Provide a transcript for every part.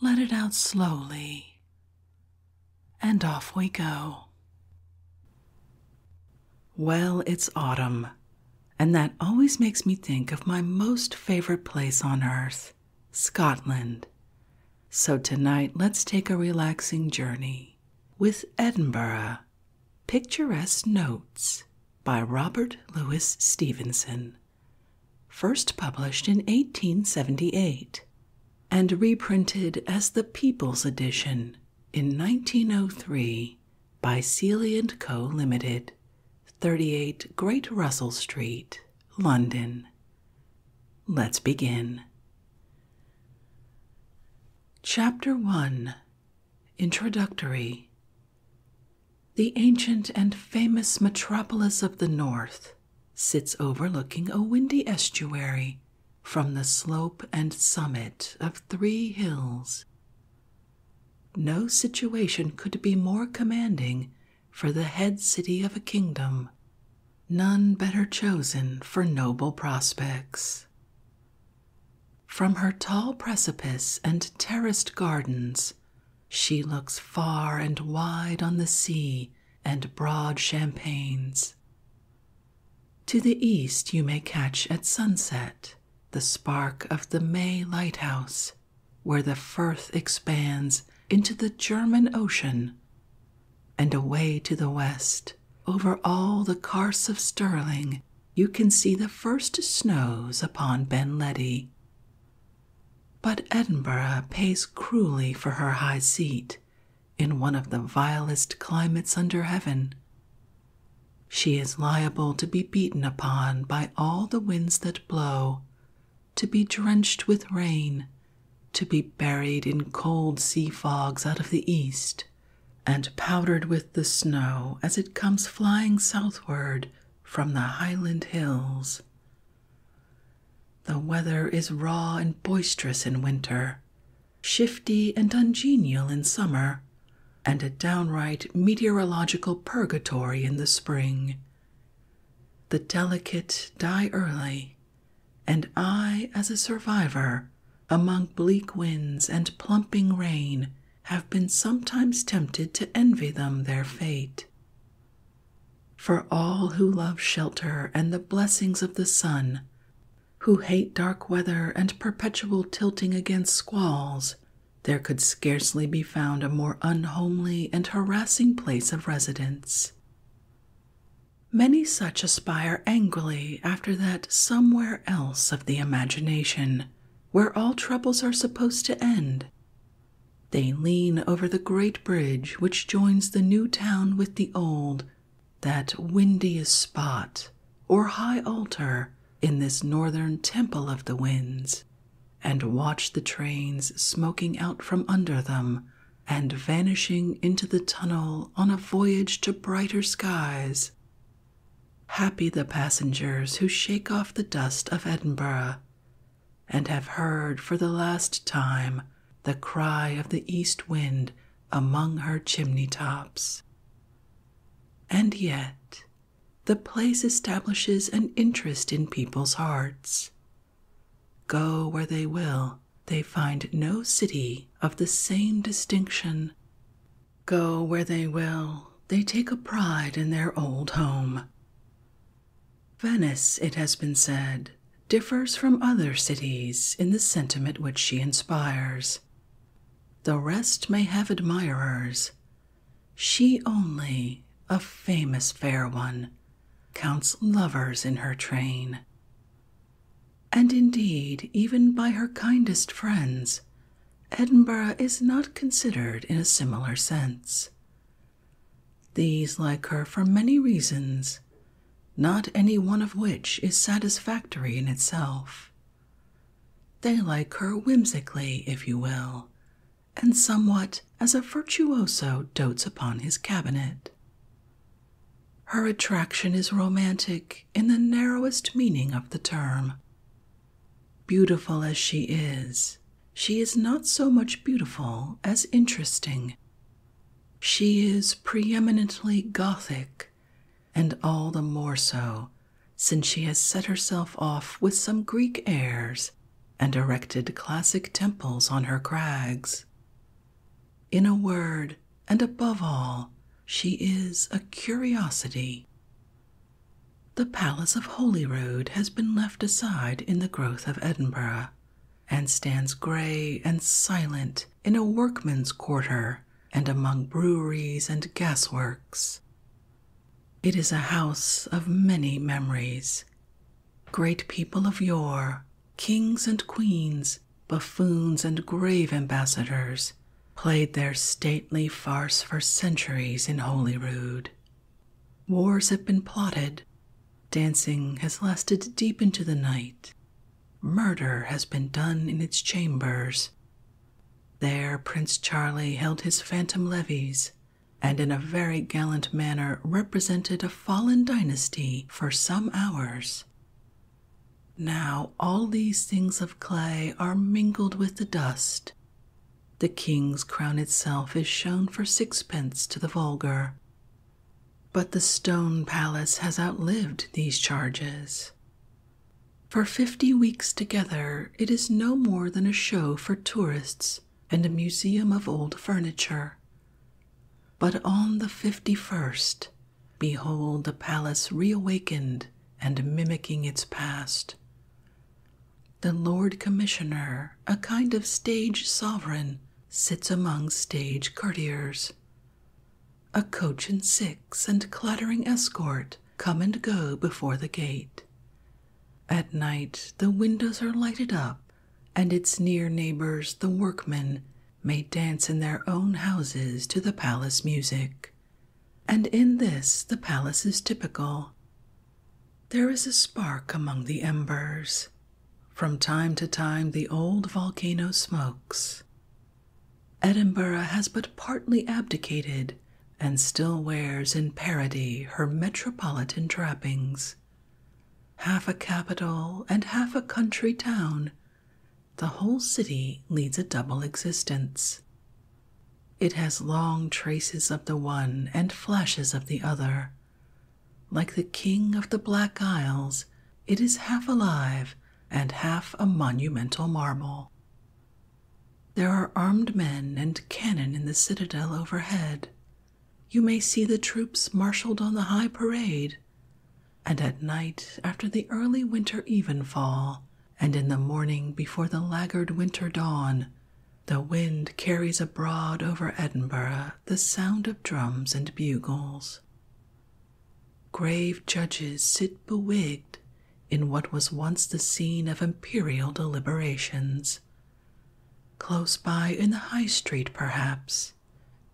let it out slowly, and off we go. Well, it's autumn, and that always makes me think of my most favorite place on earth, Scotland. So tonight, let's take a relaxing journey with Edinburgh Picturesque Notes by Robert Louis Stevenson first published in 1878 and reprinted as the People's Edition in 1903 by Seeley & Co. Limited, 38 Great Russell Street, London. Let's begin. Chapter 1 Introductory the ancient and famous metropolis of the north sits overlooking a windy estuary from the slope and summit of three hills. No situation could be more commanding for the head city of a kingdom, none better chosen for noble prospects. From her tall precipice and terraced gardens, she looks far and wide on the sea and broad champagnes. To the east, you may catch at sunset the spark of the May Lighthouse, where the Firth expands into the German Ocean, and away to the west, over all the Carse of Stirling, you can see the first snows upon Ben Ledi. But Edinburgh pays cruelly for her high seat in one of the vilest climates under heaven. She is liable to be beaten upon by all the winds that blow, to be drenched with rain, to be buried in cold sea fogs out of the east, and powdered with the snow as it comes flying southward from the highland hills. The weather is raw and boisterous in winter, shifty and ungenial in summer, and a downright meteorological purgatory in the spring. The delicate die early, and I, as a survivor, among bleak winds and plumping rain, have been sometimes tempted to envy them their fate. For all who love shelter and the blessings of the sun, who hate dark weather and perpetual tilting against squalls, there could scarcely be found a more unhomely and harassing place of residence. Many such aspire angrily after that somewhere else of the imagination, where all troubles are supposed to end, they lean over the great bridge which joins the new town with the old, that windiest spot or high altar in this northern temple of the winds, and watch the trains smoking out from under them and vanishing into the tunnel on a voyage to brighter skies. Happy the passengers who shake off the dust of Edinburgh and have heard for the last time the cry of the east wind among her chimney tops. And yet, the place establishes an interest in people's hearts. Go where they will, they find no city of the same distinction. Go where they will, they take a pride in their old home, Venice, it has been said, differs from other cities in the sentiment which she inspires. The rest may have admirers. She only, a famous fair one, counts lovers in her train. And indeed, even by her kindest friends, Edinburgh is not considered in a similar sense. These like her for many reasons, not any one of which is satisfactory in itself. They like her whimsically, if you will, and somewhat as a virtuoso dotes upon his cabinet. Her attraction is romantic in the narrowest meaning of the term, Beautiful as she is, she is not so much beautiful as interesting. She is preeminently Gothic, and all the more so since she has set herself off with some Greek airs and erected classic temples on her crags. In a word, and above all, she is a curiosity. The Palace of Holyrood has been left aside in the growth of Edinburgh, and stands grey and silent in a workman's quarter and among breweries and gasworks. It is a house of many memories. Great people of yore, kings and queens, buffoons and grave ambassadors, played their stately farce for centuries in Holyrood. Wars have been plotted, dancing has lasted deep into the night, murder has been done in its chambers. There, Prince Charlie held his phantom levies, and in a very gallant manner represented a fallen dynasty for some hours. Now all these things of clay are mingled with the dust, the king's crown itself is shown for sixpence to the vulgar. But the stone palace has outlived these charges. For fifty weeks together, it is no more than a show for tourists and a museum of old furniture. But on the fifty first, behold the palace reawakened and mimicking its past. The Lord Commissioner, a kind of stage sovereign, sits among stage courtiers. A coach and six and clattering escort come and go before the gate. At night, the windows are lighted up, and its near neighbors, the workmen, may dance in their own houses to the palace music. And in this, the palace is typical. There is a spark among the embers. From time to time, the old volcano smokes. Edinburgh has but partly abdicated and still wears in parody her metropolitan trappings. Half a capital and half a country town, the whole city leads a double existence. It has long traces of the one and flashes of the other. Like the king of the Black Isles, it is half alive and half a monumental marble. There are armed men and cannon in the citadel overhead. You may see the troops marshaled on the high parade. And at night, after the early winter evenfall, and in the morning before the laggard winter dawn, the wind carries abroad over Edinburgh the sound of drums and bugles. Grave judges sit bewigged in what was once the scene of imperial deliberations. Close by in the High Street, perhaps,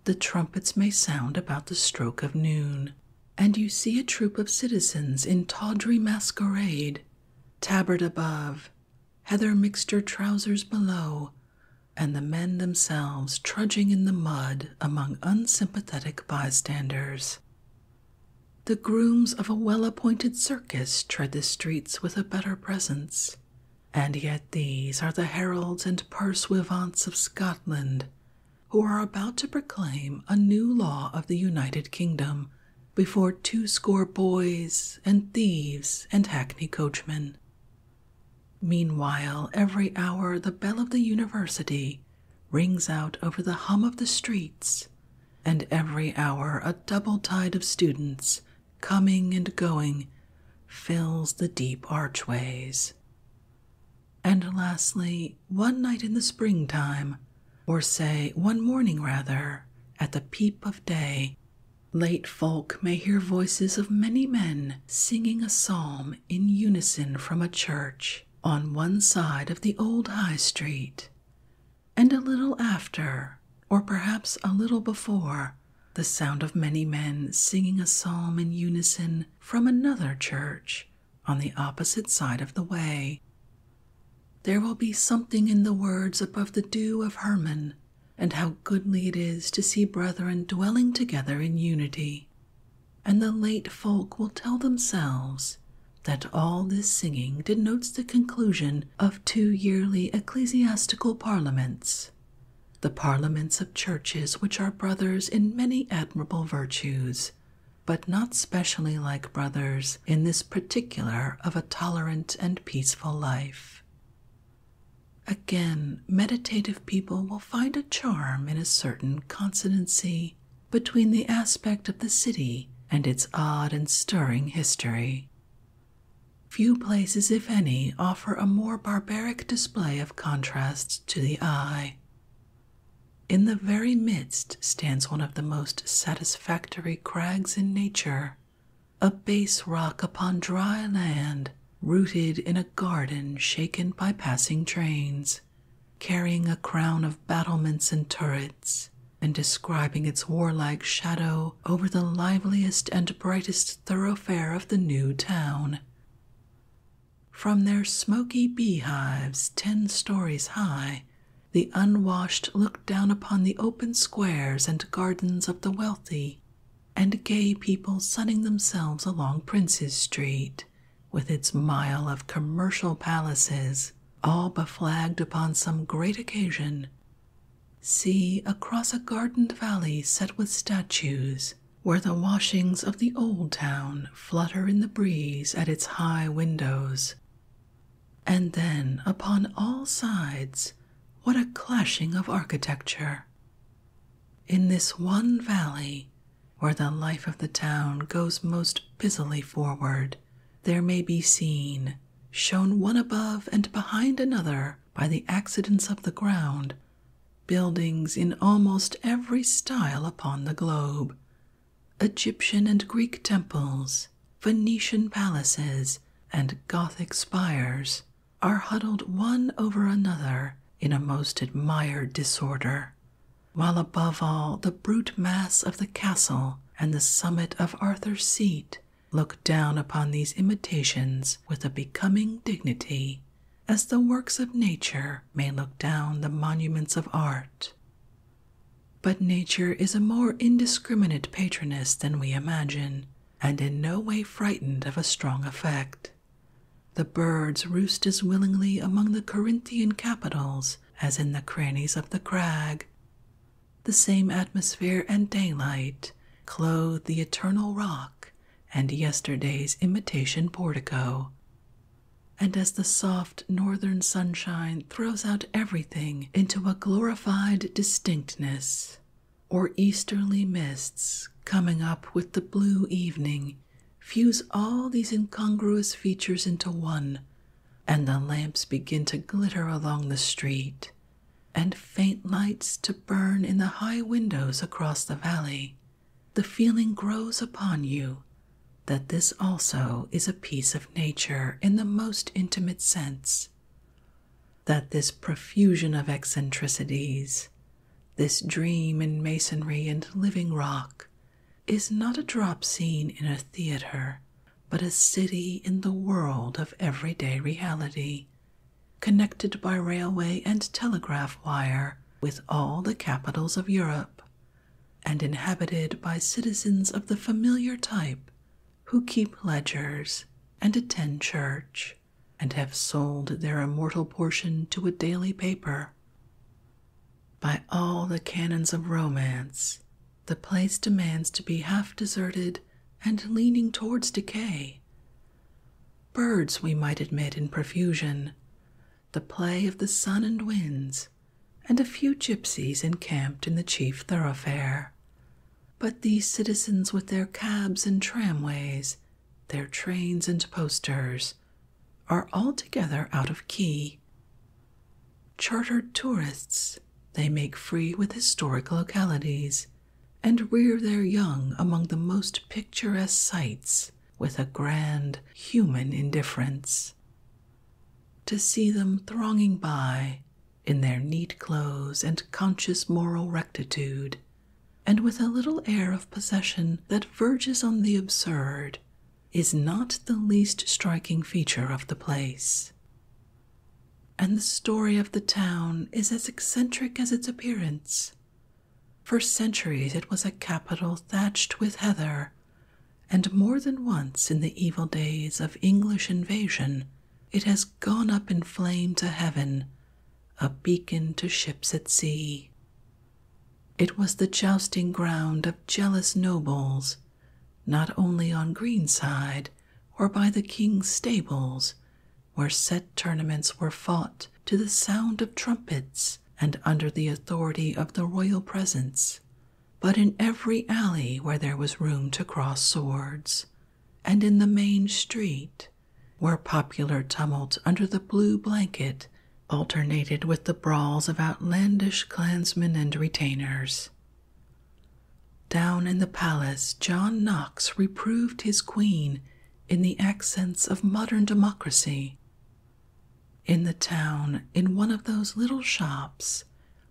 the trumpets may sound about the stroke of noon, and you see a troop of citizens in tawdry masquerade tabard above, heather mixture trousers below, and the men themselves trudging in the mud among unsympathetic bystanders. The grooms of a well appointed circus tread the streets with a better presence, and yet these are the heralds and pursuivants of Scotland who are about to proclaim a new law of the United Kingdom before two score boys and thieves and hackney coachmen. Meanwhile, every hour the bell of the university rings out over the hum of the streets, and every hour a double tide of students coming and going fills the deep archways. And lastly, one night in the springtime, or say one morning rather, at the peep of day, late folk may hear voices of many men singing a psalm in unison from a church on one side of the old High Street. And a little after, or perhaps a little before, the sound of many men singing a psalm in unison from another church on the opposite side of the way, there will be something in the words above the dew of Hermon, and how goodly it is to see brethren dwelling together in unity. And the late folk will tell themselves that all this singing denotes the conclusion of two yearly ecclesiastical parliaments, the parliaments of churches which are brothers in many admirable virtues, but not specially like brothers in this particular of a tolerant and peaceful life. Again, meditative people will find a charm in a certain consonancy between the aspect of the city and its odd and stirring history. Few places, if any, offer a more barbaric display of contrasts to the eye. In the very midst stands one of the most satisfactory Factory crags in nature, a base rock upon dry land, rooted in a garden shaken by passing trains, carrying a crown of battlements and turrets, and describing its warlike shadow over the liveliest and brightest thoroughfare of the new town. From their smoky beehives, ten stories high, the unwashed looked down upon the open squares and gardens of the wealthy, and gay people sunning themselves along Prince's Street, with its mile of commercial palaces, all beflagged upon some great occasion. See across a gardened valley set with statues, where the washings of the old town flutter in the breeze at its high windows. And then upon all sides, what a clashing of architecture! In this one valley, where the life of the town goes most busily forward, there may be seen, shown one above and behind another by the accidents of the ground, buildings in almost every style upon the globe, Egyptian and Greek temples, Venetian palaces, and Gothic spires are huddled one over another in a most admired disorder, while above all the brute mass of the castle and the summit of Arthur's Seat look down upon these imitations with a becoming dignity, as the works of nature may look down the monuments of art. But nature is a more indiscriminate patroness than we imagine, and in no way frightened of a strong effect. The birds roost as willingly among the Corinthian capitals as in the crannies of the crag. The same atmosphere and daylight clothe the eternal rock and yesterday's imitation portico. And as the soft northern sunshine throws out everything into a glorified distinctness, or easterly mists coming up with the blue evening fuse all these incongruous features into one, and the lamps begin to glitter along the street, and faint lights to burn in the high windows across the valley. The feeling grows upon you that this also is a piece of nature in the most intimate sense, that this profusion of eccentricities, this dream in masonry and living rock, is not a drop scene in a theatre, but a city in the world of everyday reality, connected by railway and telegraph wire with all the capitals of Europe, and inhabited by citizens of the familiar type who keep ledgers and attend church and have sold their immortal portion to a daily paper. By all the canons of romance, the place demands to be half deserted and leaning towards decay. Birds we might admit in profusion, the play of the sun and winds, and a few gypsies encamped in the chief thoroughfare. But these citizens, with their cabs and tramways, their trains and posters, are altogether out of key. Chartered tourists, they make free with historic localities and rear their young among the most picturesque sights with a grand human indifference to see them thronging by in their neat clothes and conscious moral rectitude, and with a little air of possession that verges on the absurd, is not the least striking feature of the place. And the story of the town is as eccentric as its appearance. For centuries it was a capital thatched with heather and more than once in the evil days of English invasion, it has gone up in flame to heaven, a beacon to ships at sea. It was the jousting ground of jealous nobles, not only on Greenside or by the king's stables, where set tournaments were fought to the sound of trumpets and under the authority of the royal presence, but in every alley where there was room to cross swords, and in the main street, where popular tumult under the blue blanket alternated with the brawls of outlandish clansmen and retainers. Down in the palace, John Knox reproved his queen in the accents of modern democracy. In the town, in one of those little shops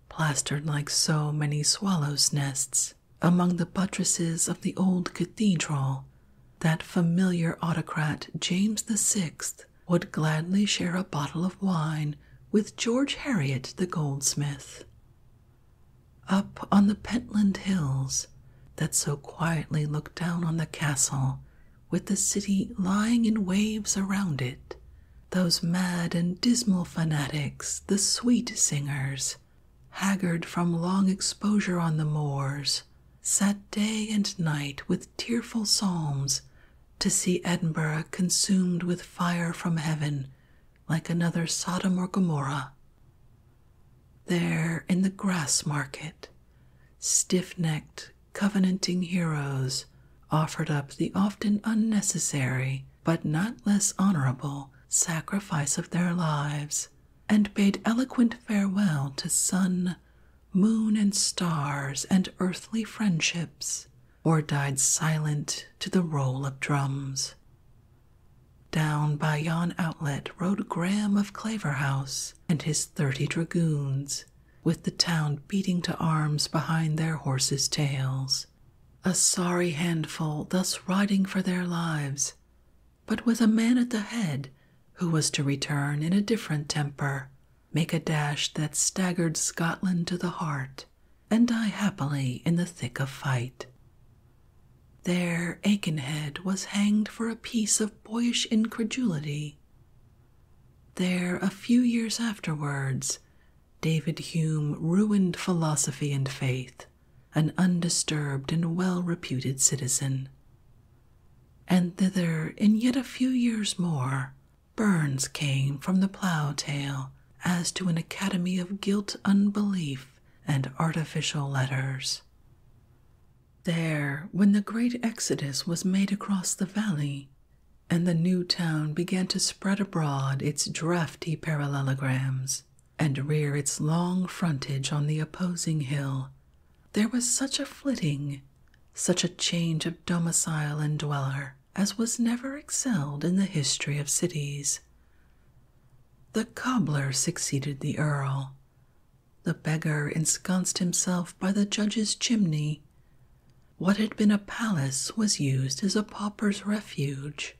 plastered like so many swallows' nests among the buttresses of the old cathedral, that familiar autocrat James the Sixth would gladly share a bottle of wine with George Harriet the goldsmith. Up on the Pentland Hills that so quietly looked down on the castle, with the city lying in waves around it, those mad and dismal fanatics, the sweet singers, haggard from long exposure on the moors, sat day and night with tearful psalms to see Edinburgh consumed with fire from heaven like another Sodom or Gomorrah. There in the grass market, stiff necked, covenanting heroes offered up the often unnecessary, but not less honorable, sacrifice of their lives, and bade eloquent farewell to sun, moon, and stars, and earthly friendships, or died silent to the roll of drums. Down by yon outlet rode Graham of Claverhouse and his thirty dragoons, with the town beating to arms behind their horses' tails. A sorry handful thus riding for their lives, but with a man at the head who was to return in a different temper, make a dash that staggered Scotland to the heart, and die happily in the thick of fight. There, Aikenhead was hanged for a piece of boyish incredulity. There, a few years afterwards, David Hume ruined philosophy and faith, an undisturbed and well reputed citizen. And thither, in yet a few years more, Burns came from the plough tail as to an academy of guilt unbelief and artificial letters. There, when the great exodus was made across the valley, and the new town began to spread abroad its draughty parallelograms and rear its long frontage on the opposing hill. There was such a flitting, such a change of domicile and dweller, as was never excelled in the history of cities. The cobbler succeeded the earl. The beggar ensconced himself by the judge's chimney. What had been a palace was used as a pauper's refuge,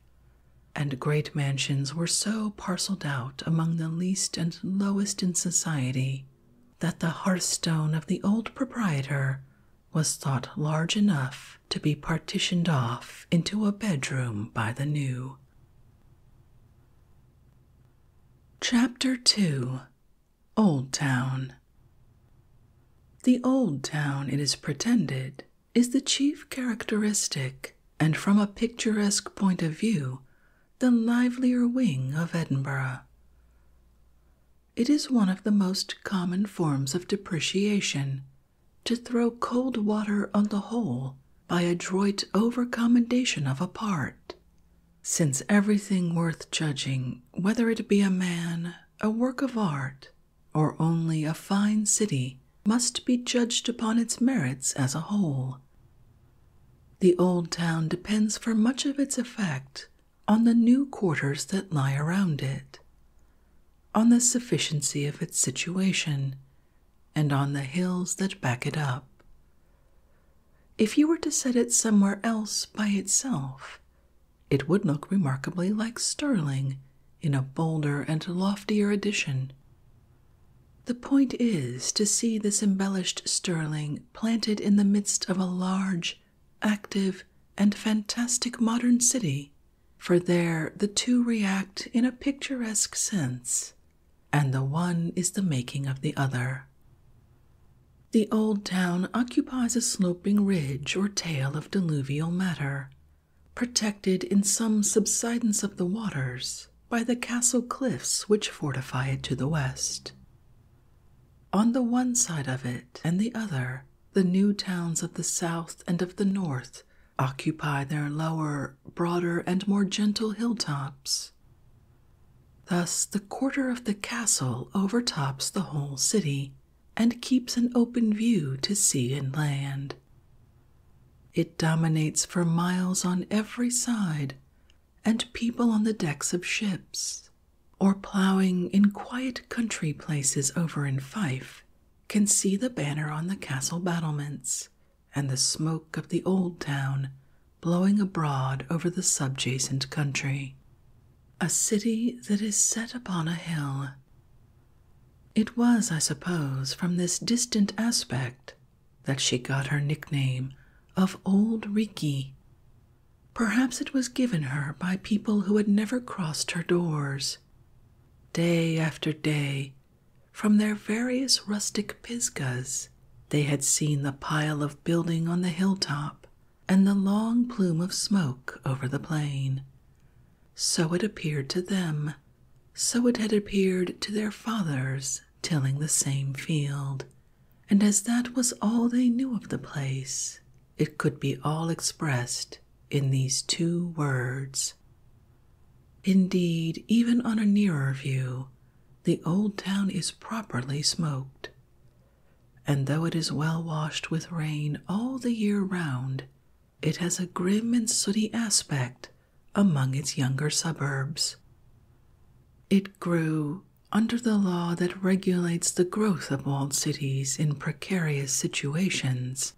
and great mansions were so parcelled out among the least and lowest in society that the hearthstone of the old proprietor was thought large enough to be partitioned off into a bedroom by the new. Chapter 2 Old Town. The old town, it is pretended, is the chief characteristic, and from a picturesque point of view, the livelier wing of Edinburgh. It is one of the most common forms of depreciation to throw cold water on the whole by adroit overcommendation of a part, since everything worth judging whether it be a man, a work of art, or only a fine city, must be judged upon its merits as a whole. The old town depends for much of its effect on the new quarters that lie around it, on the sufficiency of its situation, and on the hills that back it up. If you were to set it somewhere else by itself, it would look remarkably like Stirling in a bolder and loftier edition. The point is to see this embellished Stirling planted in the midst of a large, active, and fantastic modern city, for there the two react in a picturesque sense, and the one is the making of the other. The old town occupies a sloping ridge or tail of diluvial matter, protected in some subsidence of the waters by the castle cliffs which fortify it to the west. On the one side of it and the other, the new towns of the south and of the north occupy their lower, broader, and more gentle hilltops. Thus, the quarter of the castle overtops the whole city, and keeps an open view to sea and land. It dominates for miles on every side, and people on the decks of ships, or ploughing in quiet country places over in Fife, can see the banner on the castle battlements and the smoke of the old town blowing abroad over the subjacent country a city that is set upon a hill. It was, I suppose, from this distant aspect that she got her nickname of Old Riki. Perhaps it was given her by people who had never crossed her doors. Day after day, from their various rustic pisgas, they had seen the pile of building on the hilltop and the long plume of smoke over the plain. So it appeared to them, so it had appeared to their fathers tilling the same field, and as that was all they knew of the place, it could be all expressed in these two words. Indeed, even on a nearer view, the old town is properly smoked, and though it is well washed with rain all the year round, it has a grim and sooty aspect among its younger suburbs. It grew under the law that regulates the growth of walled cities in precarious situations,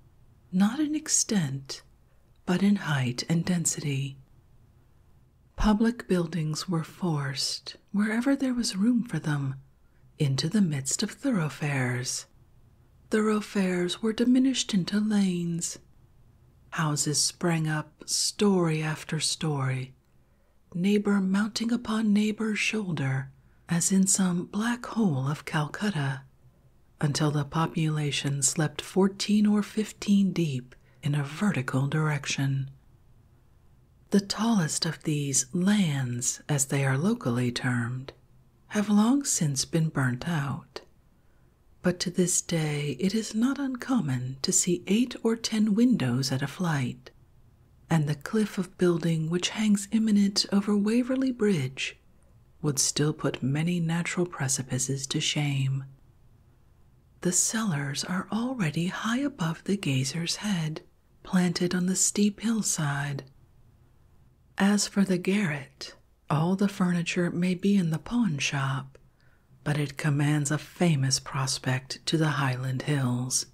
not in extent, but in height and density. Public buildings were forced, wherever there was room for them, into the midst of thoroughfares. Thoroughfares were diminished into lanes. Houses sprang up story after story, neighbor mounting upon neighbor's shoulder, as in some black hole of Calcutta, until the population slept fourteen or fifteen deep in a vertical direction. The tallest of these lands, as they are locally termed, have long since been burnt out. But to this day it is not uncommon to see eight or ten windows at a flight, and the cliff of building which hangs imminent over Waverley Bridge would still put many natural precipices to shame. The cellars are already high above the gazer's head, planted on the steep hillside. As for the garret, all the furniture may be in the pawn shop, but it commands a famous prospect to the Highland Hills.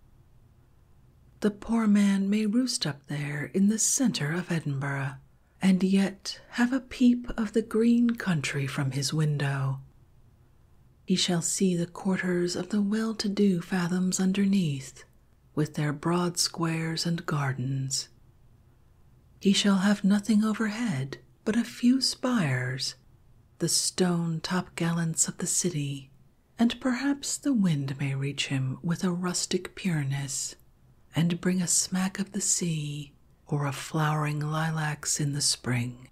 The poor man may roost up there in the centre of Edinburgh, and yet have a peep of the green country from his window. He shall see the quarters of the well to do fathoms underneath, with their broad squares and gardens. He shall have nothing overhead but a few spires, the stone top gallants of the city, and perhaps the wind may reach him with a rustic pureness, and bring a smack of the sea or of flowering lilacs in the spring.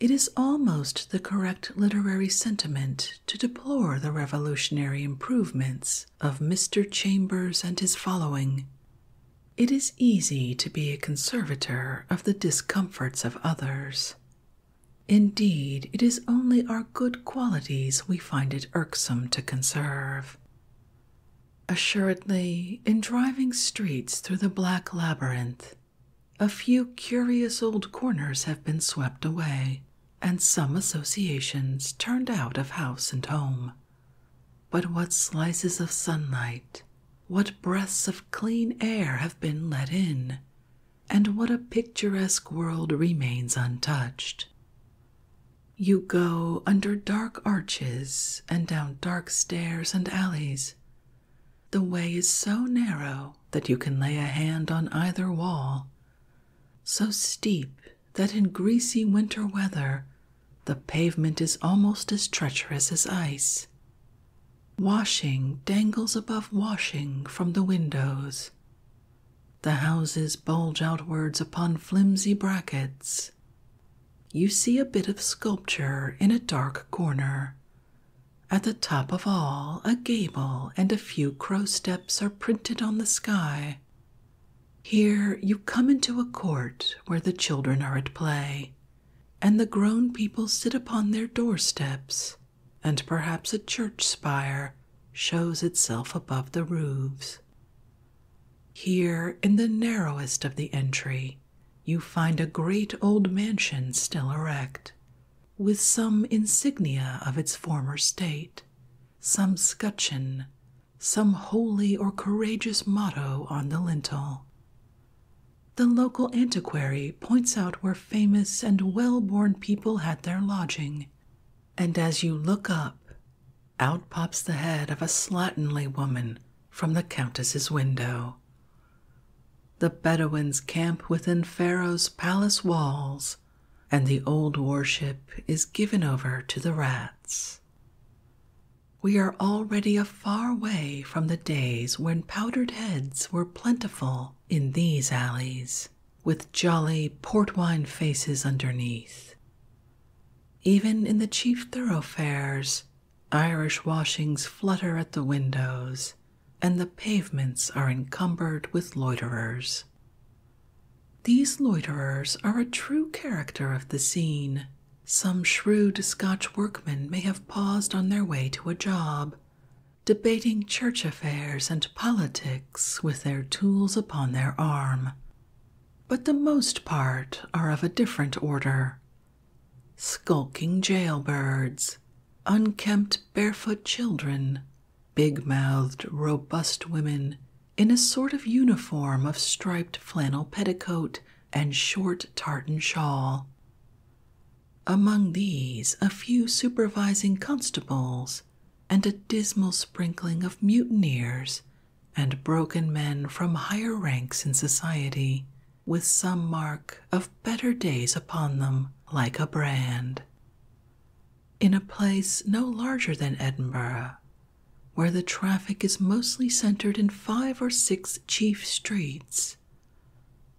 It is almost the correct literary sentiment to deplore the revolutionary improvements of Mr. Chambers and his following. It is easy to be a conservator of the discomforts of others. Indeed, it is only our good qualities we find it irksome to conserve. Assuredly, in driving streets through the black labyrinth, a few curious old corners have been swept away, and some associations turned out of house and home. But what slices of sunlight, what breaths of clean air have been let in, and what a picturesque world remains untouched. You go under dark arches and down dark stairs and alleys, the way is so narrow that you can lay a hand on either wall, so steep that in greasy winter weather the pavement is almost as treacherous as ice. Washing dangles above washing from the windows. The houses bulge outwards upon flimsy brackets. You see a bit of sculpture in a dark corner, at the top of all, a gable and a few crow steps are printed on the sky. Here you come into a court where the children are at play, and the grown people sit upon their doorsteps, and perhaps a church spire shows itself above the roofs. Here, in the narrowest of the entry, you find a great old mansion still erect, with some insignia of its former state, some scutcheon, some holy or courageous motto on the lintel. The local antiquary points out where famous and well born people had their lodging, and as you look up, out pops the head of a slatternly woman from the Countess's window. The Bedouins camp within Pharaoh's palace walls, and the old worship is given over to the rats. We are already afar away from the days when powdered heads were plentiful in these alleys, with jolly port wine faces underneath. Even in the chief thoroughfares, Irish washings flutter at the windows, and the pavements are encumbered with loiterers. These loiterers are a true character of the scene. Some shrewd Scotch workmen may have paused on their way to a job, debating church affairs and politics with their tools upon their arm, but the most part are of a different order. Skulking jailbirds, unkempt barefoot children, big mouthed, robust women in a sort of uniform of striped flannel petticoat and short tartan shawl. Among these, a few supervising constables and a dismal sprinkling of mutineers and broken men from higher ranks in society with some mark of better days upon them, like a brand. In a place no larger than Edinburgh, where the traffic is mostly centered in five or six chief streets,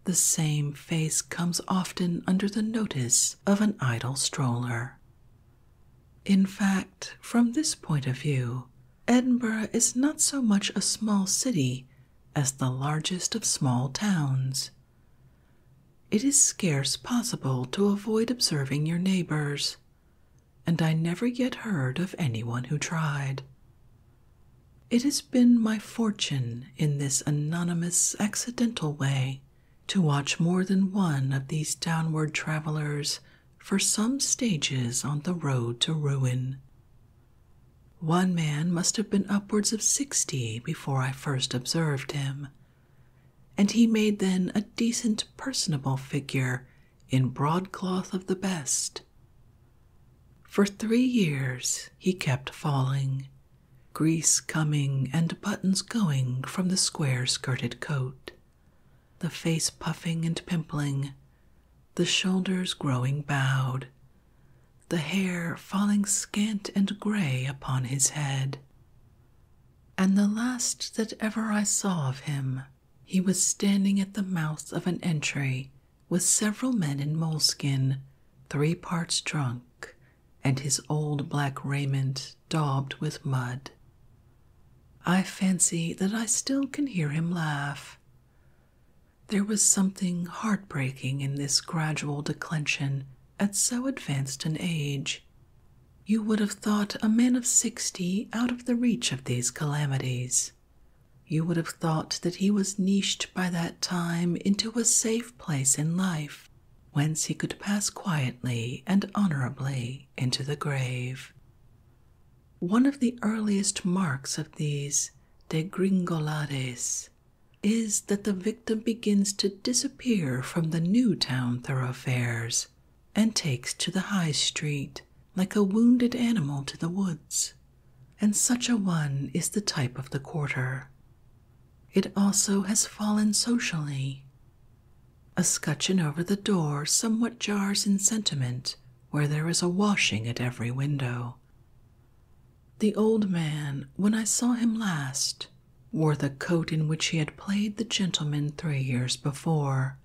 the same face comes often under the notice of an idle stroller. In fact, from this point of view, Edinburgh is not so much a small city as the largest of small towns. It is scarce possible to avoid observing your neighbors, and I never yet heard of any one who tried. It has been my fortune in this anonymous, accidental way to watch more than one of these downward travelers for some stages on the road to ruin. One man must have been upwards of sixty before I first observed him, and he made then a decent, personable figure in broadcloth of the best. For three years he kept falling, grease coming and buttons going from the square skirted coat, the face puffing and pimpling, the shoulders growing bowed, the hair falling scant and grey upon his head. And the last that ever I saw of him, he was standing at the mouth of an entry with several men in moleskin, three parts drunk, and his old black raiment daubed with mud. I fancy that I still can hear him laugh. There was something heart-breaking in this gradual declension at so advanced an age. You would have thought a man of sixty out of the reach of these calamities. You would have thought that he was niched by that time into a safe place in life, whence he could pass quietly and honorably into the grave. One of the earliest marks of these degringolades is that the victim begins to disappear from the new town thoroughfares and takes to the High Street like a wounded animal to the woods, and such a one is the type of the quarter. It also has fallen socially. A scutcheon over the door somewhat jars in sentiment where there is a washing at every window. The old man, when I saw him last, wore the coat in which he had played the gentleman three years before,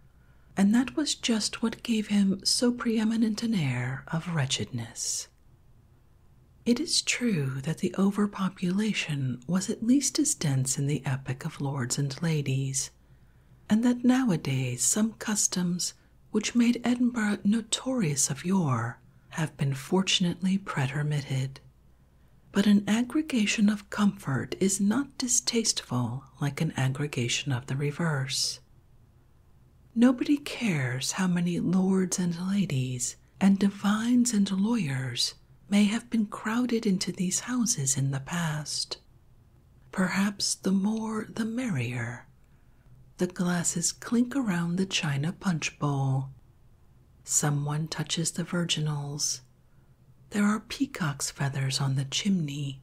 and that was just what gave him so preeminent an air of wretchedness. It is true that the overpopulation was at least as dense in the epoch of lords and ladies, and that nowadays some customs which made Edinburgh notorious of yore have been fortunately pretermitted. But an aggregation of comfort is not distasteful like an aggregation of the reverse. Nobody cares how many lords and ladies and divines and lawyers may have been crowded into these houses in the past. Perhaps the more the merrier the glasses clink around the china punch bowl. Someone touches the virginals. There are peacock's feathers on the chimney,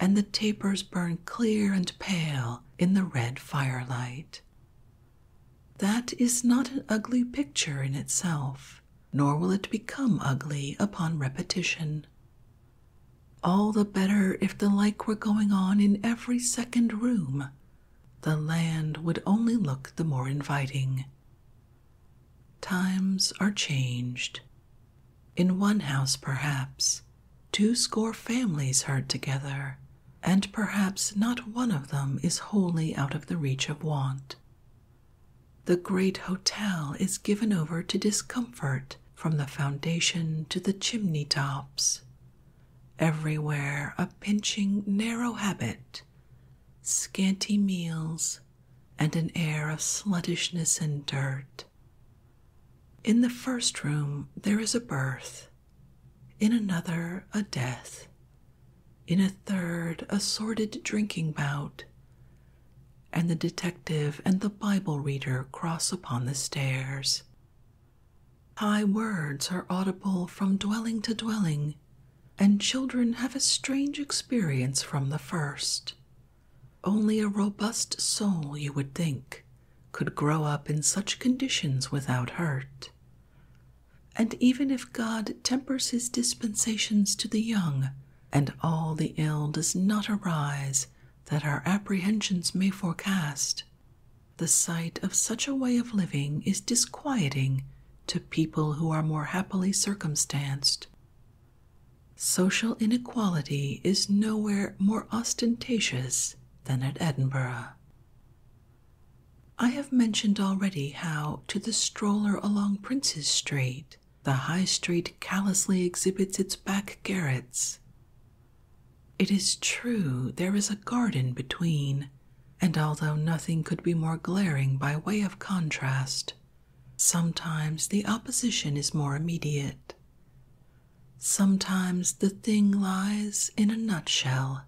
and the tapers burn clear and pale in the red firelight. That is not an ugly picture in itself, nor will it become ugly upon repetition. All the better if if the like were going on in every second room, the land would only look the more inviting. Times are changed. In one house, perhaps, two score families herd together, and perhaps not one of them is wholly out of the reach of want. The great hotel is given over to discomfort from the foundation to the chimney tops, Everywhere a pinching, narrow habit, scanty meals, and an air of sluttishness and dirt. In the first room there is a birth, in another a death, in a third a sordid drinking bout, and the detective and the Bible reader cross upon the stairs. High words are audible from dwelling to dwelling, and children have a strange experience from the first. Only a robust soul, you would think, could grow up in such conditions without hurt. And even if God tempers his dispensations to the young, and all the ill does not arise that our apprehensions may forecast, the sight of such a way of living is disquieting to people who are more happily circumstanced. Social inequality is nowhere more ostentatious than at Edinburgh. I have mentioned already how, to the stroller along Prince's Street, the High Street callously exhibits its back garrets, it is true there is a garden between, and although nothing could be more glaring by way of contrast, sometimes the opposition is more immediate. Sometimes the thing lies in a nutshell,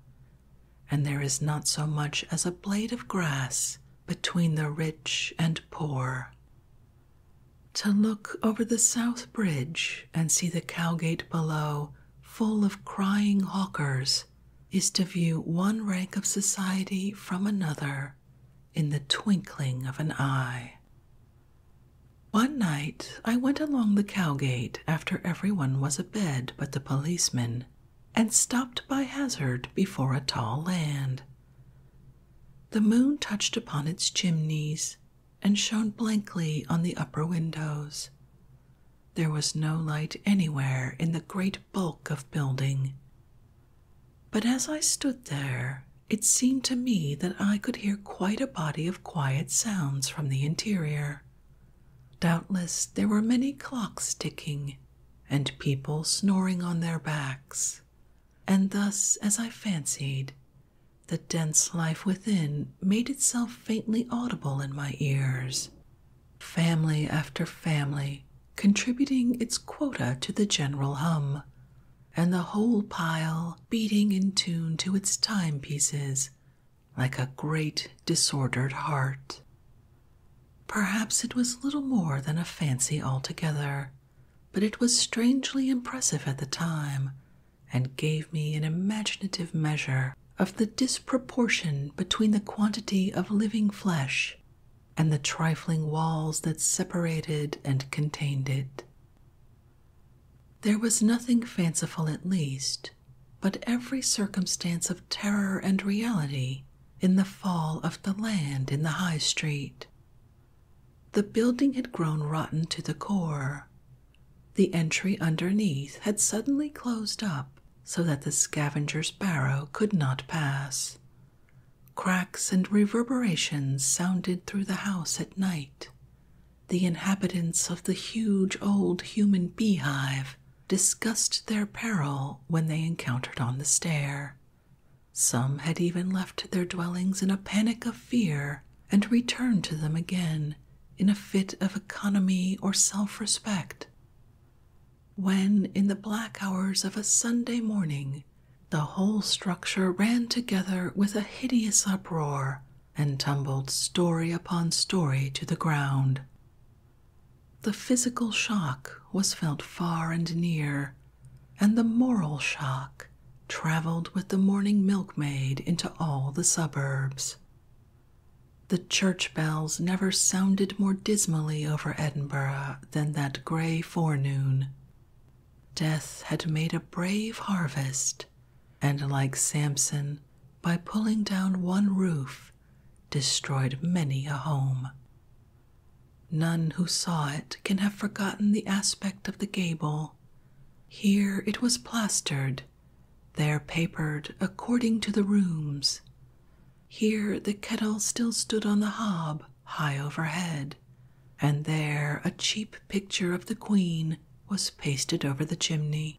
and there is not so much as a blade of grass between the rich and poor. To look over the South Bridge and see the Cowgate below full of crying hawkers is to view one rank of society from another in the twinkling of an eye. One night I went along the Cowgate after every one was abed but the policeman, and stopped by hazard before a tall land. The moon touched upon its chimneys and shone blankly on the upper windows. There was no light anywhere in the great bulk of building. But as I stood there, it seemed to me that I could hear quite a body of quiet sounds from the interior. Doubtless there were many clocks ticking, and people snoring on their backs, and thus, as I fancied, the dense life within made itself faintly audible in my ears, family after family contributing its quota to the general hum, and the whole pile beating in tune to its timepieces like a great disordered heart. Perhaps it was little more than a fancy altogether, but it was strangely impressive at the time and gave me an imaginative measure of the disproportion between the quantity of living flesh and the trifling walls that separated and contained it. There was nothing fanciful, at least, but every circumstance of terror and reality in the fall of the land in the High Street. The building had grown rotten to the core, the entry underneath had suddenly closed up so that the scavenger's barrow could not pass. Cracks and reverberations sounded through the house at night. The inhabitants of the huge old human beehive discussed their peril when they encountered on the stair. Some had even left their dwellings in a panic of fear and return to them again in a fit of economy or self respect. When, in the black hours of a Sunday morning, the whole structure ran together with a hideous uproar and tumbled story upon story to the ground. The physical shock was felt far and near, and the moral shock traveled with the morning milkmaid into all the suburbs. The church bells never sounded more dismally over Edinburgh than that grey forenoon. Death had made a brave harvest, and like Samson, by pulling down one roof, destroyed many a home. None who saw it can have forgotten the aspect of the gable here it was plastered, there papered according to the rooms. Here the kettle still stood on the hob, high overhead, and there a cheap picture of the Queen was pasted over the chimney.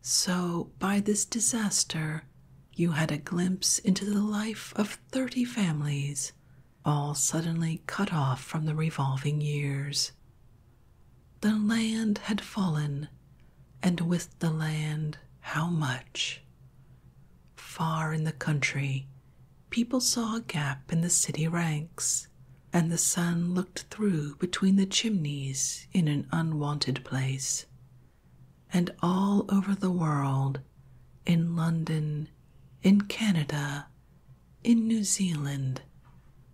So, by this disaster, you had a glimpse into the life of thirty families, all suddenly cut off from the revolving years. The land had fallen, and with the land, how much? Far in the country, people saw a gap in the city ranks, and the sun looked through between the chimneys in an unwonted place. And all over the world, in London, in Canada, in New Zealand,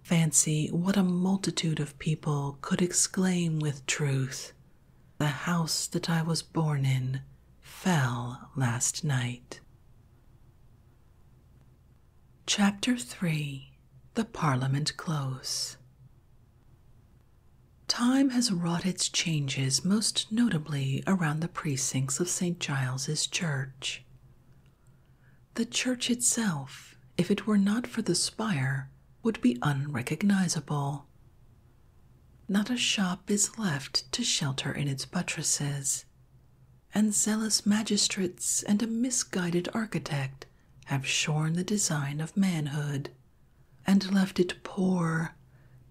fancy what a multitude of people could exclaim with truth The house that I was born in fell last night. Chapter 3 The Parliament Close Time has wrought its changes most notably around the precincts of St. Giles's Church. The church itself, if it were not for the spire, would be unrecognizable. Not a shop is left to shelter in its buttresses, and zealous magistrates and a misguided architect have shorn the design of manhood and left it poor,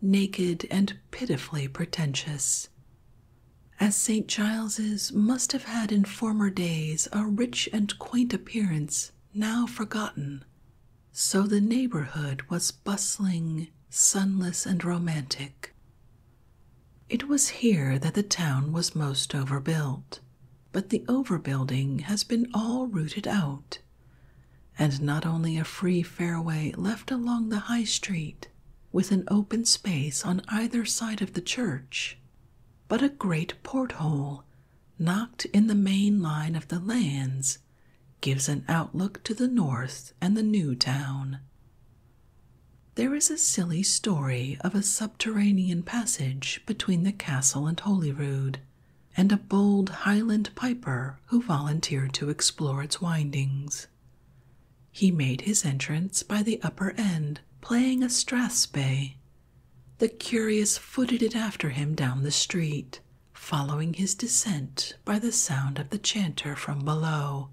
naked, and pitifully pretentious as St. Giles's must have had in former days a rich and quaint appearance now forgotten, so the neighborhood was bustling, sunless, and romantic. It was here that the town was most overbuilt, but the overbuilding has been all rooted out, and not only a free fairway left along the high street with an open space on either side of the church, but a great porthole knocked in the main line of the lands gives an outlook to the north and the new town. There is a silly story of a subterranean passage between the castle and Holyrood, and a bold Highland piper who volunteered to explore its windings. He made his entrance by the upper end, playing a strathspey. The curious footed it after him down the street, following his descent by the sound of the chanter from below,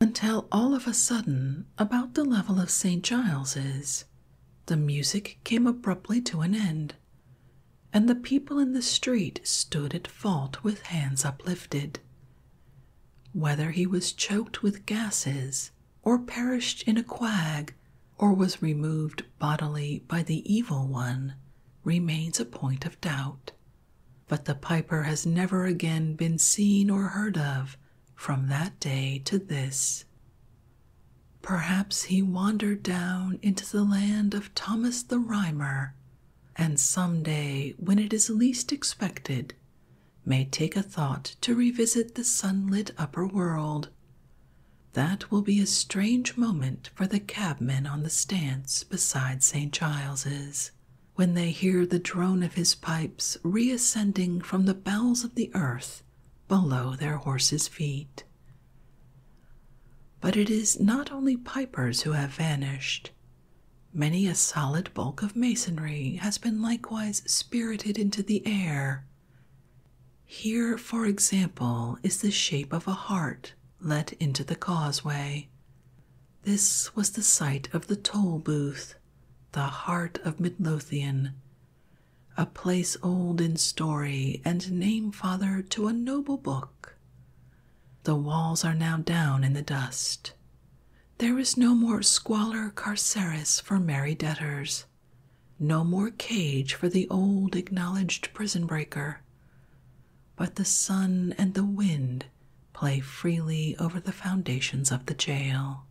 until all of a sudden, about the level of St. Giles's, the music came abruptly to an end, and the people in the street stood at fault with hands uplifted. Whether he was choked with gases, or perished in a quag, or was removed bodily by the evil one, remains a point of doubt. But the piper has never again been seen or heard of from that day to this. Perhaps he wandered down into the land of Thomas the Rhymer, and some day, when it is least expected, may take a thought to revisit the sunlit upper world. That will be a strange moment for the cabmen on the stands beside St. Giles's when they hear the drone of his pipes reascending from the bowels of the earth below their horses' feet. But it is not only pipers who have vanished. Many a solid bulk of masonry has been likewise spirited into the air. Here, for example, is the shape of a heart let into the causeway. This was the site of the toll booth, the heart of Midlothian, a place old in story and name father to a noble book. The walls are now down in the dust. There is no more squalor carceris for merry debtors, no more cage for the old acknowledged prison breaker. But the sun and the wind play freely over the foundations of the jail.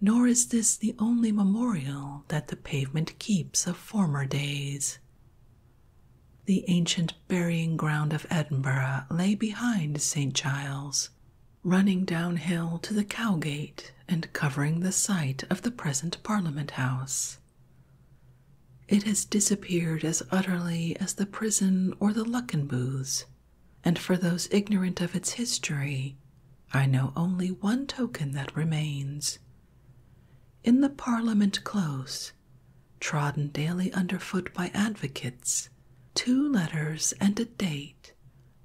Nor is this the only memorial that the pavement keeps of former days. The ancient burying ground of Edinburgh lay behind St. Giles, running downhill to the Cowgate and covering the site of the present Parliament House. It has disappeared as utterly as the prison or the Luckenbooths, and for those ignorant of its history, I know only one token that remains. In the Parliament Close, trodden daily underfoot by advocates, two letters and a date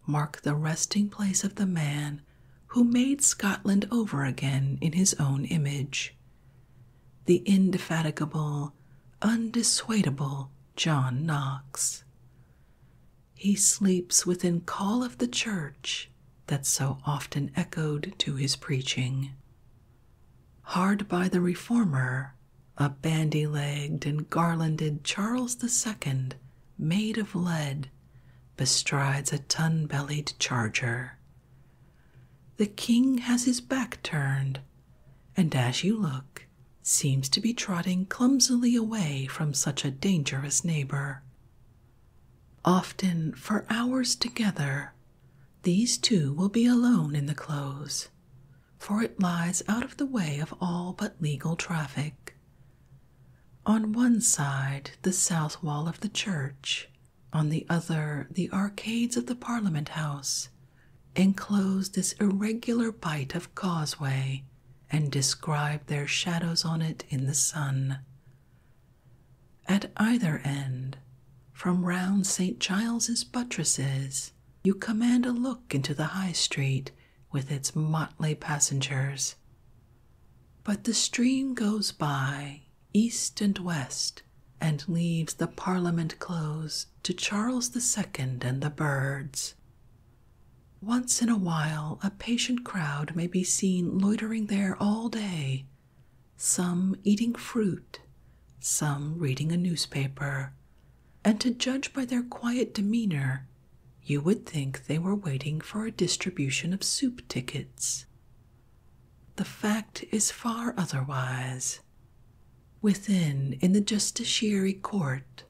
mark the resting place of the man who made Scotland over again in his own image. The indefatigable, undissuadable John Knox. He sleeps within call of the church that so often echoed to his preaching. Hard by the reformer a bandy legged and garlanded Charles II, made of lead, bestrides a tun bellied charger. The king has his back turned, and as you look, seems to be trotting clumsily away from such a dangerous neighbor. Often, for hours together, these two will be alone in the close, for it lies out of the way of all but legal traffic. On one side, the south wall of the church, on the other, the arcades of the Parliament House, enclose this irregular bight of causeway and describe their shadows on it in the sun. At either end, from round St. Giles's buttresses, you command a look into the high street with its motley passengers. But the stream goes by, east and west, and leaves the Parliament Close to Charles the Second and the birds. Once in a while, a patient crowd may be seen loitering there all day, some eating fruit, some reading a newspaper, and to judge by their quiet demeanor, you would think they were waiting for a distribution of soup tickets. The fact is far otherwise. Within, in the justiciary court,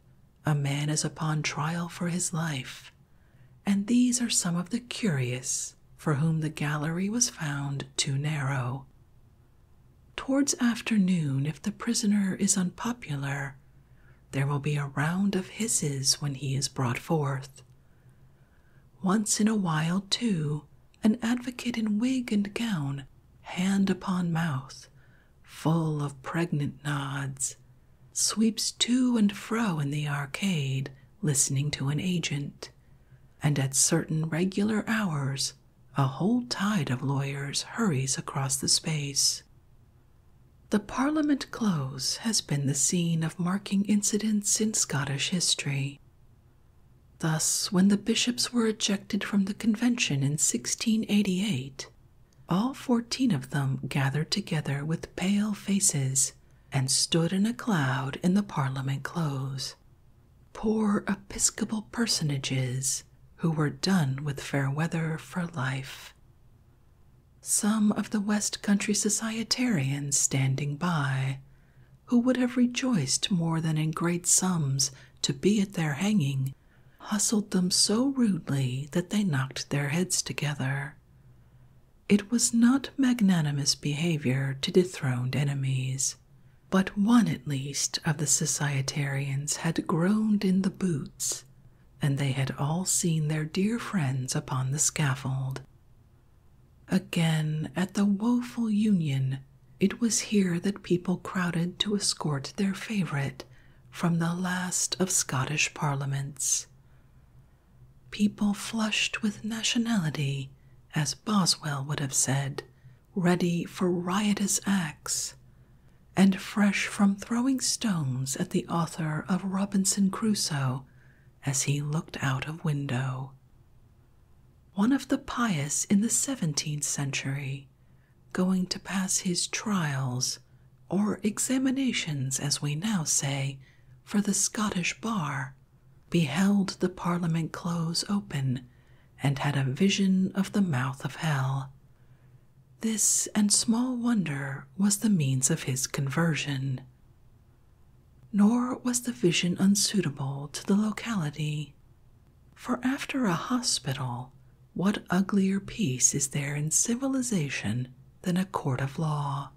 a man is upon trial for his life, and these are some of the curious for whom the gallery was found too narrow, Towards afternoon, if the prisoner is unpopular, there will be a round of hisses when he is brought forth. Once in a while, too, an advocate in wig and gown, hand upon mouth, full of pregnant nods, sweeps to and fro in the arcade, listening to an agent, and at certain regular hours a whole tide of lawyers hurries across the space. The Parliament Close has been the scene of marking incidents in Scottish history. Thus, when the bishops were ejected from the convention in 1688, all fourteen of them gathered together with pale faces and stood in a cloud in the Parliament Close, poor episcopal personages who were done with fair weather for life. Some of the West Country Societarians standing by, who would have rejoiced more than in great sums to be at their hanging, hustled them so rudely that they knocked their heads together. It was not magnanimous behavior to dethroned enemies but one at least of the societarians had groaned in the boots, and they had all seen their dear friends upon the scaffold. Again, at the woeful union, it was here that people crowded to escort their favourite from the last of Scottish parliaments. People flushed with nationality, as Boswell would have said, ready for riotous acts, and fresh from throwing stones at the author of Robinson Crusoe as he looked out of window. One of the pious in the seventeenth century, going to pass his trials or examinations, as we now say, for the Scottish bar, beheld the Parliament close open and had a vision of the mouth of hell. This and small wonder was the means of his conversion. Nor was the vision unsuitable to the locality, for after a hospital, what uglier peace is there in civilization than a court of law?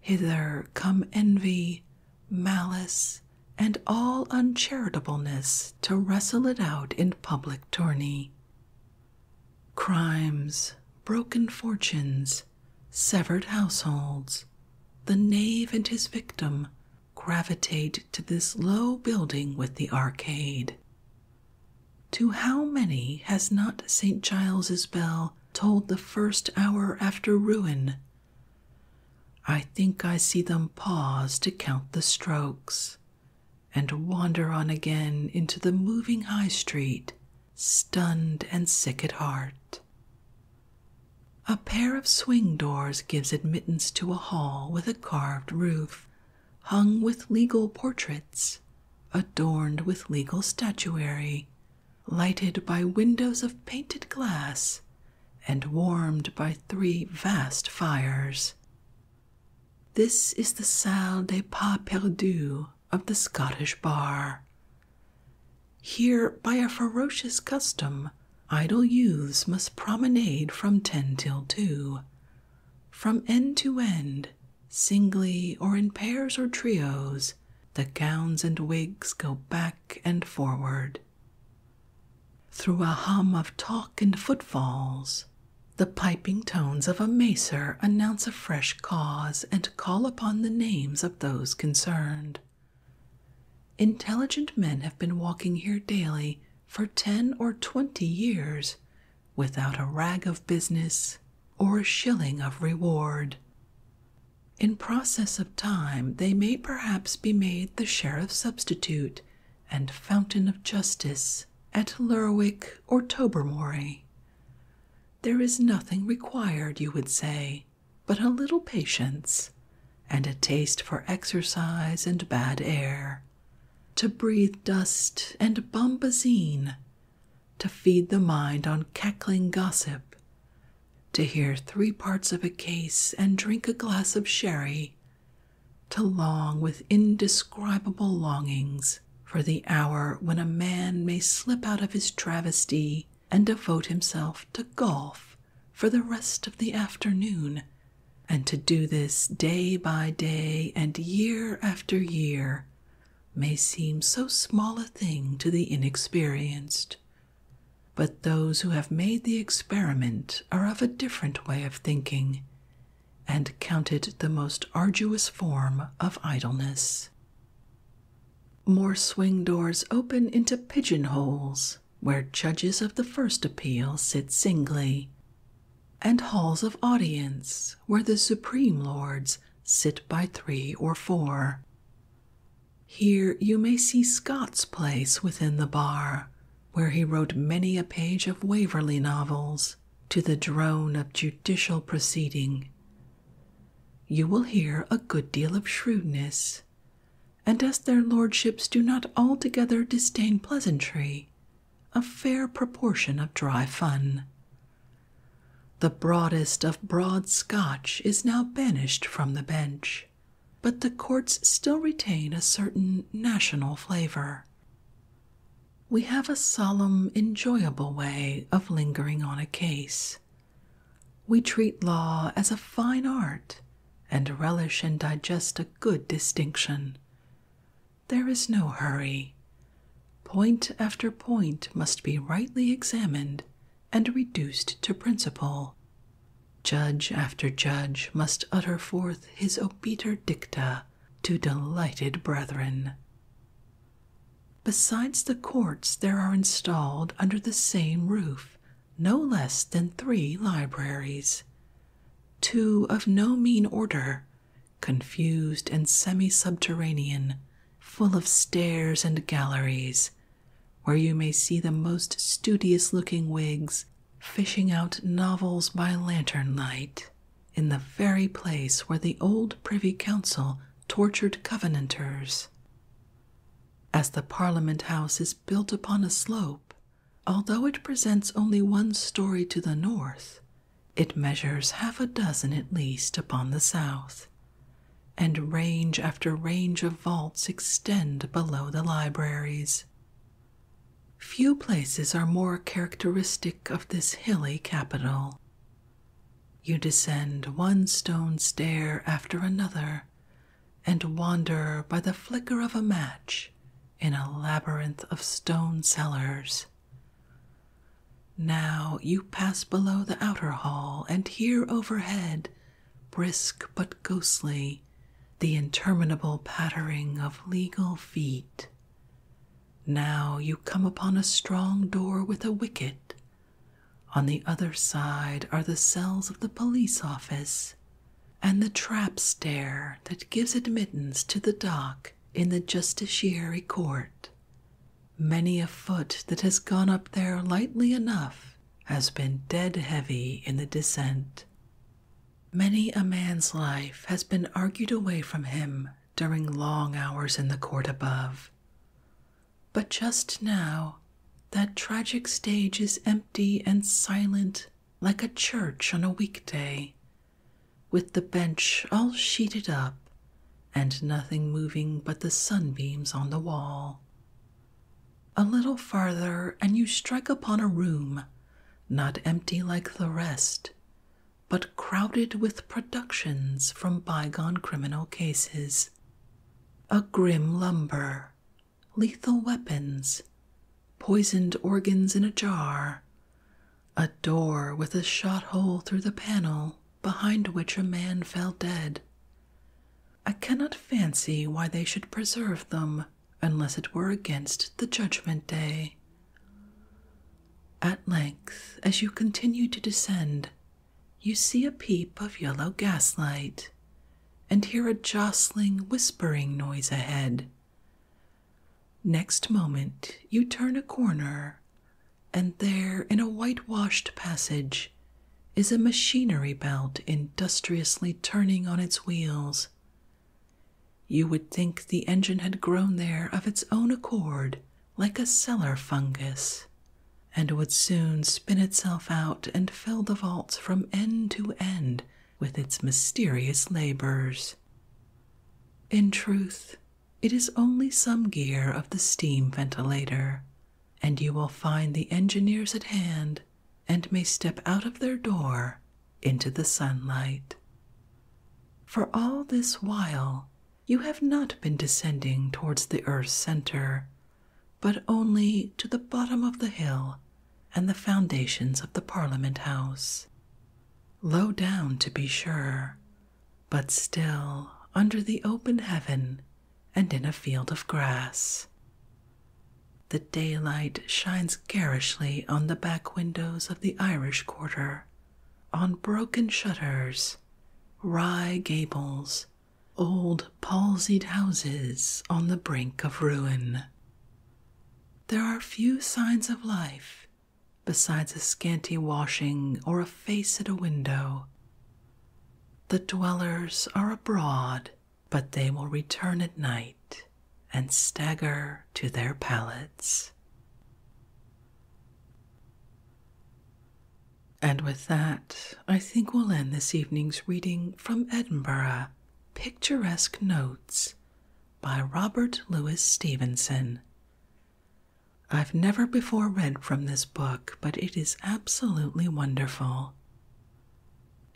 Hither come envy, malice, and all uncharitableness to wrestle it out in public tourney. Crimes, broken fortunes, severed households, the knave and his victim gravitate to this low building with the arcade. To how many has not St. Giles's bell told the first hour after ruin I think I see them pause to count the strokes and wander on again into the moving high street, stunned and sick at heart. A pair of swing doors gives admittance to a hall with a carved roof, hung with legal portraits, adorned with legal statuary, lighted by windows of painted glass and warmed by three vast fires. This is the Salle des Pas Perdus of the Scottish Bar. Here, by a ferocious custom, idle youths must promenade from ten till two, from end to end, singly or in pairs or trios. The gowns and wigs go back and forward, through a hum of talk and footfalls, the piping tones of a macer announce a fresh cause and call upon the names of those concerned. Intelligent men have been walking here daily for ten or twenty years without a rag of business or a shilling of reward. In process of time, they may perhaps be made the sheriff's substitute and Fountain of Justice at Lurwick or Tobermory. There is nothing required, you would say, but a little patience and a taste for exercise and bad air, to breathe dust and bombazine, to feed the mind on cackling gossip, to hear three parts of a case and drink a glass of sherry to long with indescribable longings for the hour when a man may slip out of his travesty and devote himself to golf for the rest of the afternoon, and to do this day by day and year after year may seem so small a thing to the inexperienced. But those who have made the experiment are of a different way of thinking and count it the most arduous form of idleness. More swing doors open into pigeonholes where judges of the first appeal sit singly, and halls of audience where the supreme lords sit by three or four. Here you may see Scott's place within the bar, where he wrote many a page of Waverley novels to the drone of judicial proceeding. You will hear a good deal of shrewdness, and as their lordships do not altogether disdain pleasantry, a fair proportion of dry fun. The broadest of broad Scotch is now banished from the bench, but the courts still retain a certain national flavor. We have a solemn, enjoyable way of lingering on a case. We treat law as a fine art and relish and digest a good distinction. There is no hurry. Point after point must be rightly examined and reduced to principle. Judge after judge must utter forth his obiter dicta to delighted brethren. Besides the courts, there are installed under the same roof no less than three libraries, two of no mean order, confused and semi subterranean, full of stairs and galleries, where you may see the most studious looking wigs fishing out novels by lantern light in the very place where the old Privy Council tortured Covenanters. As the Parliament House is built upon a slope, although it presents only one story to the north, it measures half a dozen at least upon the south, and range after range of vaults extend below the libraries. Few places are more characteristic of this hilly capital. You descend one stone stair after another and wander by the flicker of a match in a labyrinth of stone cellars. Now you pass below the outer hall and hear overhead brisk but ghostly, the interminable pattering of legal feet. Now you come upon a strong door with a wicket. On the other side are the cells of the police office and the trap stair that gives admittance to the dock in the justiciary court. Many a foot that has gone up there lightly enough has been dead heavy in the descent. Many a man's life has been argued away from him during long hours in the court above. But just now, that tragic stage is empty and silent like a church on a weekday, with the bench all sheeted up and nothing moving but the sunbeams on the wall. A little farther, and you strike upon a room, not empty like the rest, but crowded with productions from bygone criminal cases. A grim lumber, lethal weapons, poisoned organs in a jar, a door with a shot hole through the panel behind which a man fell dead, I cannot fancy why they should preserve them unless it were against the judgment day. At length, as you continue to descend, you see a peep of yellow gaslight and hear a jostling, whispering noise ahead. Next moment, you turn a corner, and there, in a whitewashed passage, is a machinery belt industriously turning on its wheels. You would think the engine had grown there of its own accord, like a cellar fungus, and would soon spin itself out and fill the vaults from end to end with its mysterious labors. In truth, it is only some gear of the steam ventilator, and you will find the engineers at hand and may step out of their door into the sunlight. For all this while, you have not been descending towards the earth's center, but only to the bottom of the hill and the foundations of the Parliament House. Low down, to be sure, but still under the open heaven and in a field of grass. The daylight shines garishly on the back windows of the Irish quarter, on broken shutters, rye gables, old palsied houses on the brink of ruin. There are few signs of life besides a scanty washing or a face at a window. The dwellers are abroad but they will return at night and stagger to their pallets. And with that, I think we'll end this evening's reading from Edinburgh Picturesque Notes by Robert Louis Stevenson. I've never before read from this book, but it is absolutely wonderful.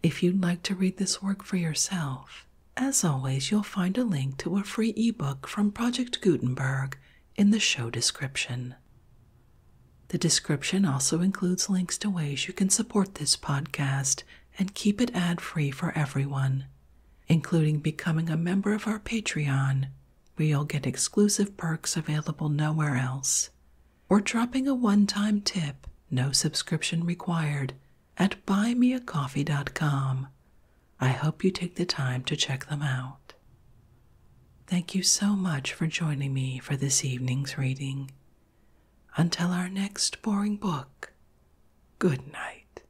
If you'd like to read this work for yourself, as always, you'll find a link to a free ebook from Project Gutenberg in the show description. The description also includes links to ways you can support this podcast and keep it ad free for everyone, including becoming a member of our Patreon, where you'll get exclusive perks available nowhere else, or dropping a one time tip, no subscription required, at buymeacoffee.com. I hope you take the time to check them out. Thank you so much for joining me for this evening's reading. Until our next boring book, good night.